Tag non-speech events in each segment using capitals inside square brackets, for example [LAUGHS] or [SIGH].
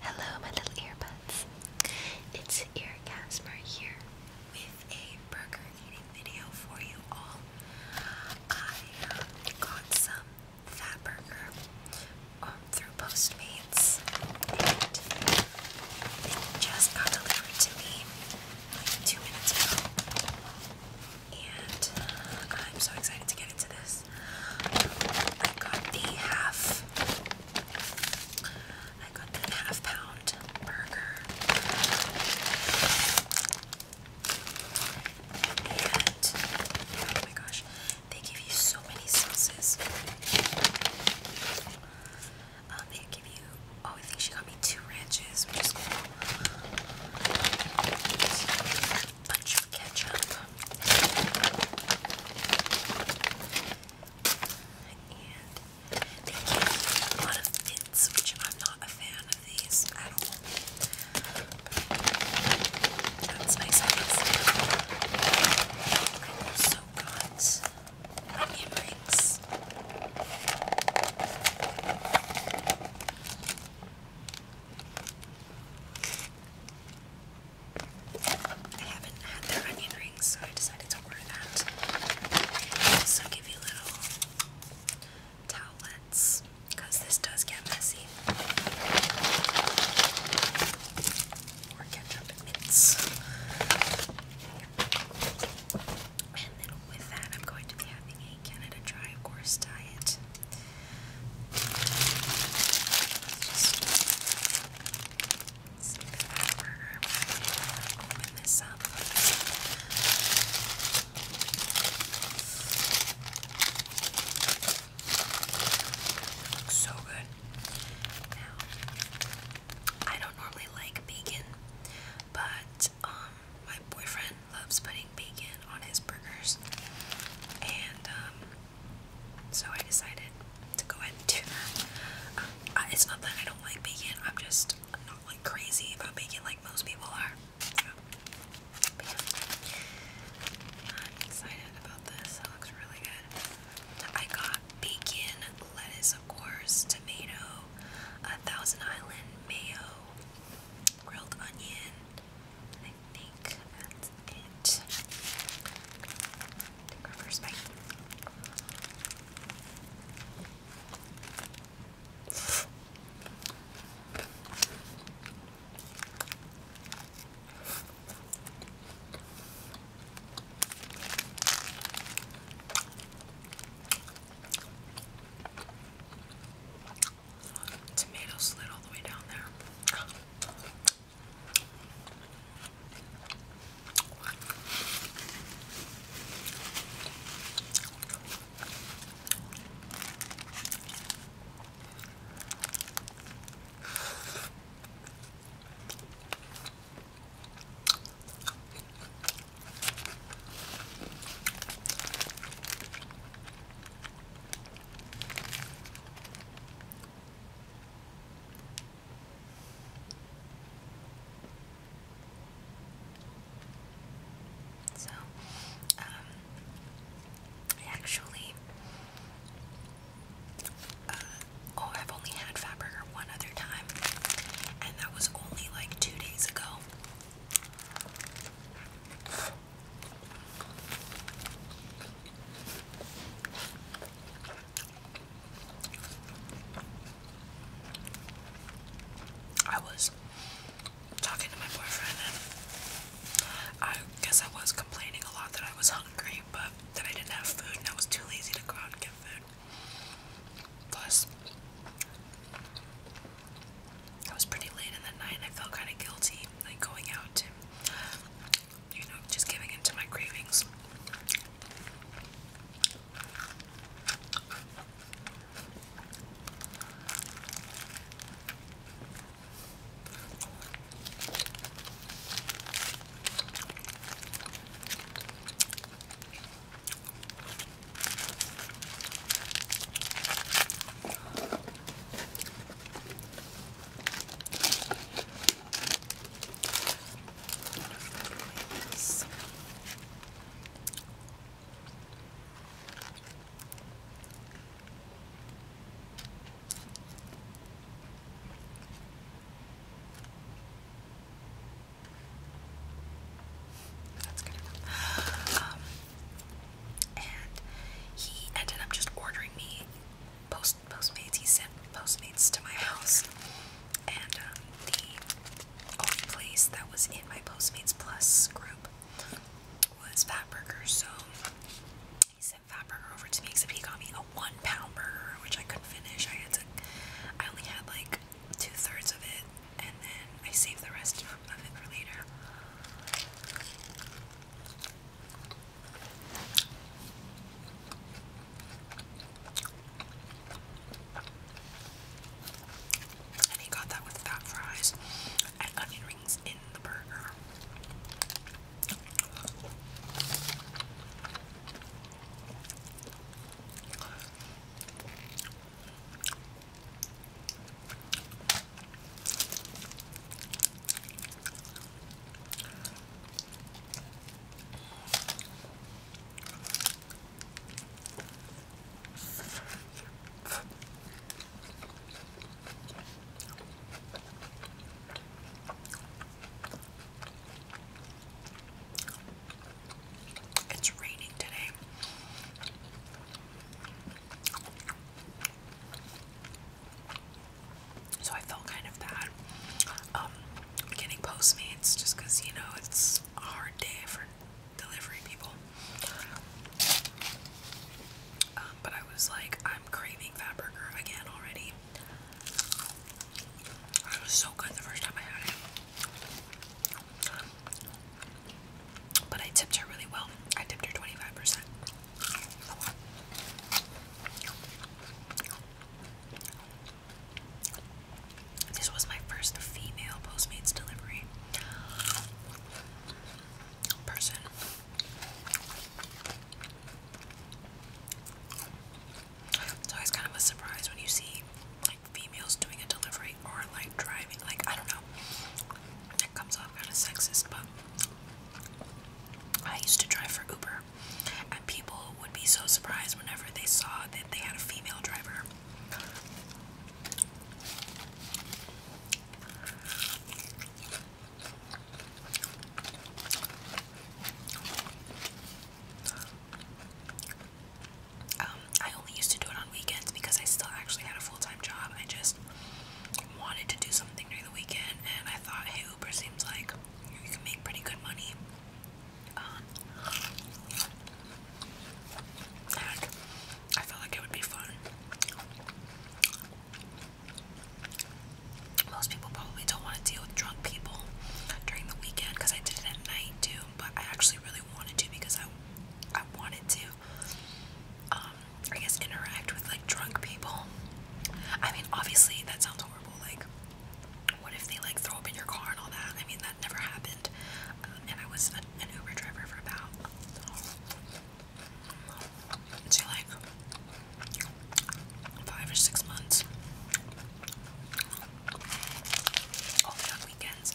Hello, my little earbuds. It's Ear Casper here with a burger eating video for you all. I um, got some fat burger um, through Postmates, and just got delivered to me like two minutes ago. And uh, I'm so excited to get into this. I got the half. I got the half pound burger. And oh my gosh, they give you so many sauces. Um, they give you, oh, I think she got me two ranches, bunch of ketchup. And they came a lot of mints, which I'm not a fan of these at all. But that's nice, I guess. I also got onion rings. I haven't had their onion rings, so I decided to order that. They also give you little towelettes, because this does get messy. More ketchup mints. And then with that, I'm going to be having a Canada Dry, of diet. Let's Open this up. so good. I don't normally like bacon, but um, my boyfriend loves putting bacon on his burgers, and um, so I decided to go ahead and do that. Um, it's not that I don't like bacon, I'm just not like crazy about bacon like most people are. I'm excited about this, it looks really good. I got bacon, lettuce, of course, tomato, a Thousand Island mayo, grilled onion. I think that's it. Take our first bite. Tomato slid all the way down there. So, um, I actually, uh, oh, I've only had Fatburger one other time, and that was only like two days ago. I was talking to my boyfriend, and I guess I was complaining a lot that I was hungry, but that I didn't have food and I was too lazy to go out and get food. Plus, I was pretty late in the night and I felt kind of guilty like going out you know just giving in to my cravings. Yes. That's good enough. Um, and he ended up just ordering me post Postmates. He sent Postmates to my house, and um, the only place that was in my Postmates Plus group was Fatburger. So he sent Fatburger over to me, except he got me a one-pound burger, which I couldn't finish. I had to. I only had like two thirds of it, and then I saved the rest of it for later. And he got that with fat fries and onion rings in the burger. It's raining today. So I felt kind of bad um, getting Postmates just you know, it's a hard day for delivery people. Um, but I was like, I'm craving that burger again already. It was so good the first time I had it. But I tipped her really well. I tipped her 25%. This was my first female Postmates delivery person. It's always kind of a surprise when you see like females doing a delivery or like driving. Like, I don't know. That comes off kind of sexist, but I used to drive for Uber, and people would be so surprised whenever they saw that they had a female driver. Um, I only used to do it on weekends because I still actually had a full time job. I just wanted to do something during the weekend, and I thought, hey, Uber seems like you can make pretty good money. and um, I felt like it would be fun. Most people probably don't want to deal with drunk people during the weekend because I did it at night too, but I actually really wanted to because I I wanted to um, I guess interact with like drunk people. I mean, obviously that sounds horrible. Like, what if they like throw up in your car and all that? I mean, that never happened. Uh, and I was an Uber driver for about. See, like five or six months. Oh, all on weekends. I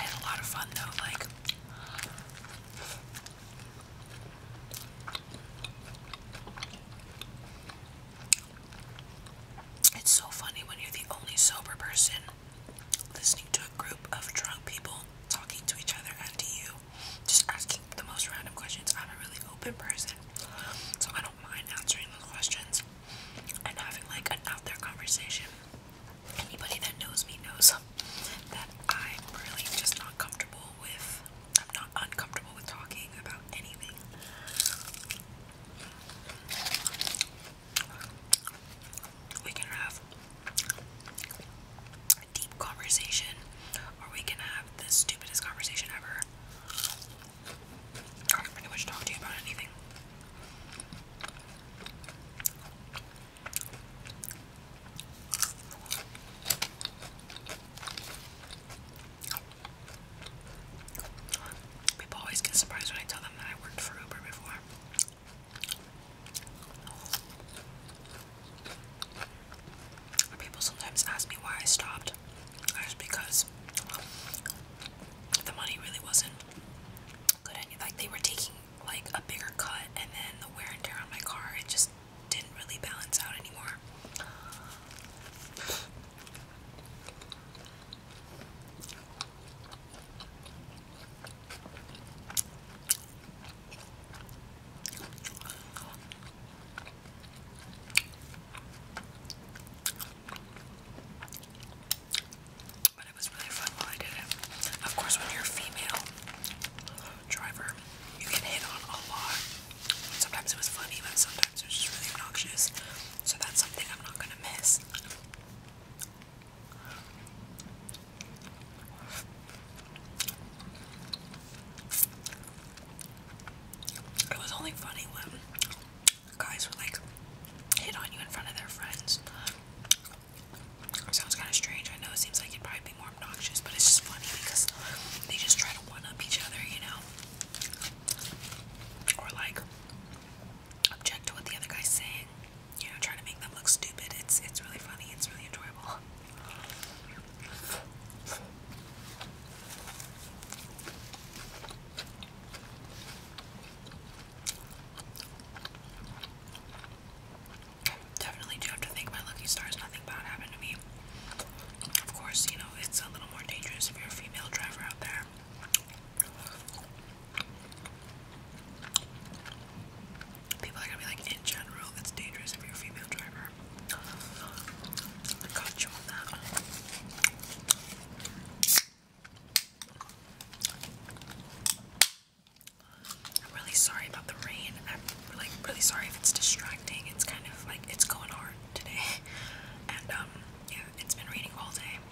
had a lot of fun though, like it's so funny when you're the only sober person listening to a group of drunk people talking to each other and to you, just asking the most random questions. I'm a really open person, so I don't mind answering those questions and having like an out there conversation. Anybody that knows me knows that I'm really just not comfortable with, I'm not uncomfortable with talking about anything. We can have a deep conversation, or we can have the stupidest conversation ever. I can pretty much talk you about anything. People always get surprised when I tell them that I worked for Uber before. People sometimes ask me why I stopped. That's because the money really wasn't good. Any like they were taking like a bigger cut, and then the wear and tear on my car it just didn't really balance out anymore. But it was really fun while I did it. Of course, when you're a female driver, you can hit on a lot. Sometimes it was funny, but sometimes it was just really obnoxious. So that's something I'm not gonna miss. It was only funny when guys were like hit on you in front of their friends. sounds kind of strange. I know it seems like it'd probably be more obnoxious, but it's just funny because they just try to one up each other, you know? Or like object to what the other guy's saying. You know, trying to make them look stupid. It's it's really funny. It's really enjoyable. Definitely do have to my lucky stars. Nothing bad happened to me. Of course, you know, it's a little more dangerous if you're a female driver out there. People are gonna be like, in general, it's dangerous if you're a female driver. I got you on that. I'm really sorry about the rain. I'm really, really sorry if it's distracting. It's kind of like it's going hard today, [LAUGHS] and um, yeah, it's been raining all day.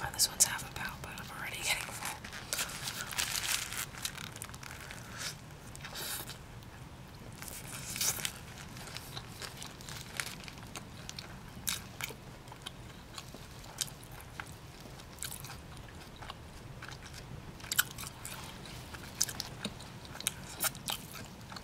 Oh, this one's half a pound, but I'm already getting full.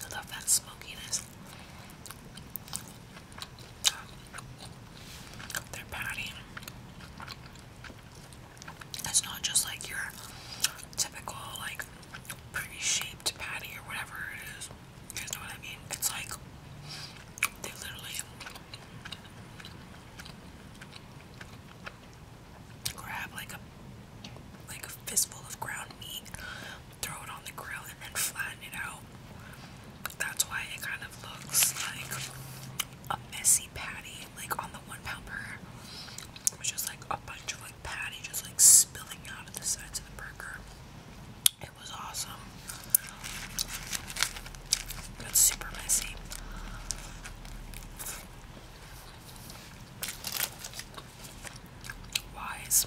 I love that smokiness. Um, Their patty. It's not just like your typical like pretty shaped patty or whatever it is. You guys know what I mean? It's like they literally grab like a like a fistful of ground meat, throw it on the grill and then flatten it out. That's why it kind of looks like a messy patty, like on the one-pounder. It was just like a bunch of like patty just like spilling out of the sides of the burger. It was awesome. But it's super messy. Wise.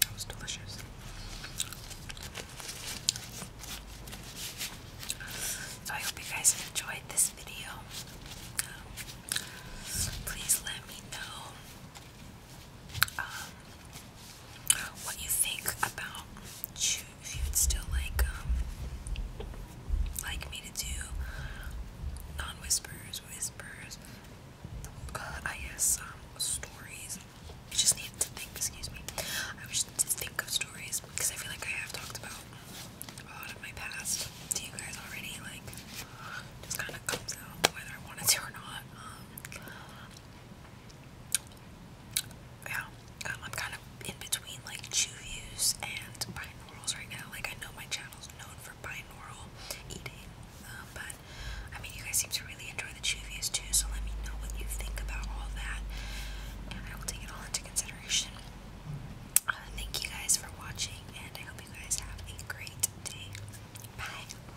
That was delicious. So I hope you guys enjoyed this video. Um, please let me know um, what you think about if you would still like um, like me to do non-whispers, whispers, I guess um, stories. I just need to think. Excuse me. I just need to think of stories because I feel like I have talked about a lot of my past to you guys already. Like, just kind of comes out whether I wanted to or not. Um, yeah, um, I'm kind of in between like chewies and binaurals right now. Like I know my channel's known for binaural eating, um, but I mean you guys seem to really enjoy the chewies too. So let me know what you think about all that, and I will take it all into consideration. Uh, thank you guys for watching, and I hope you guys have a great day. Bye.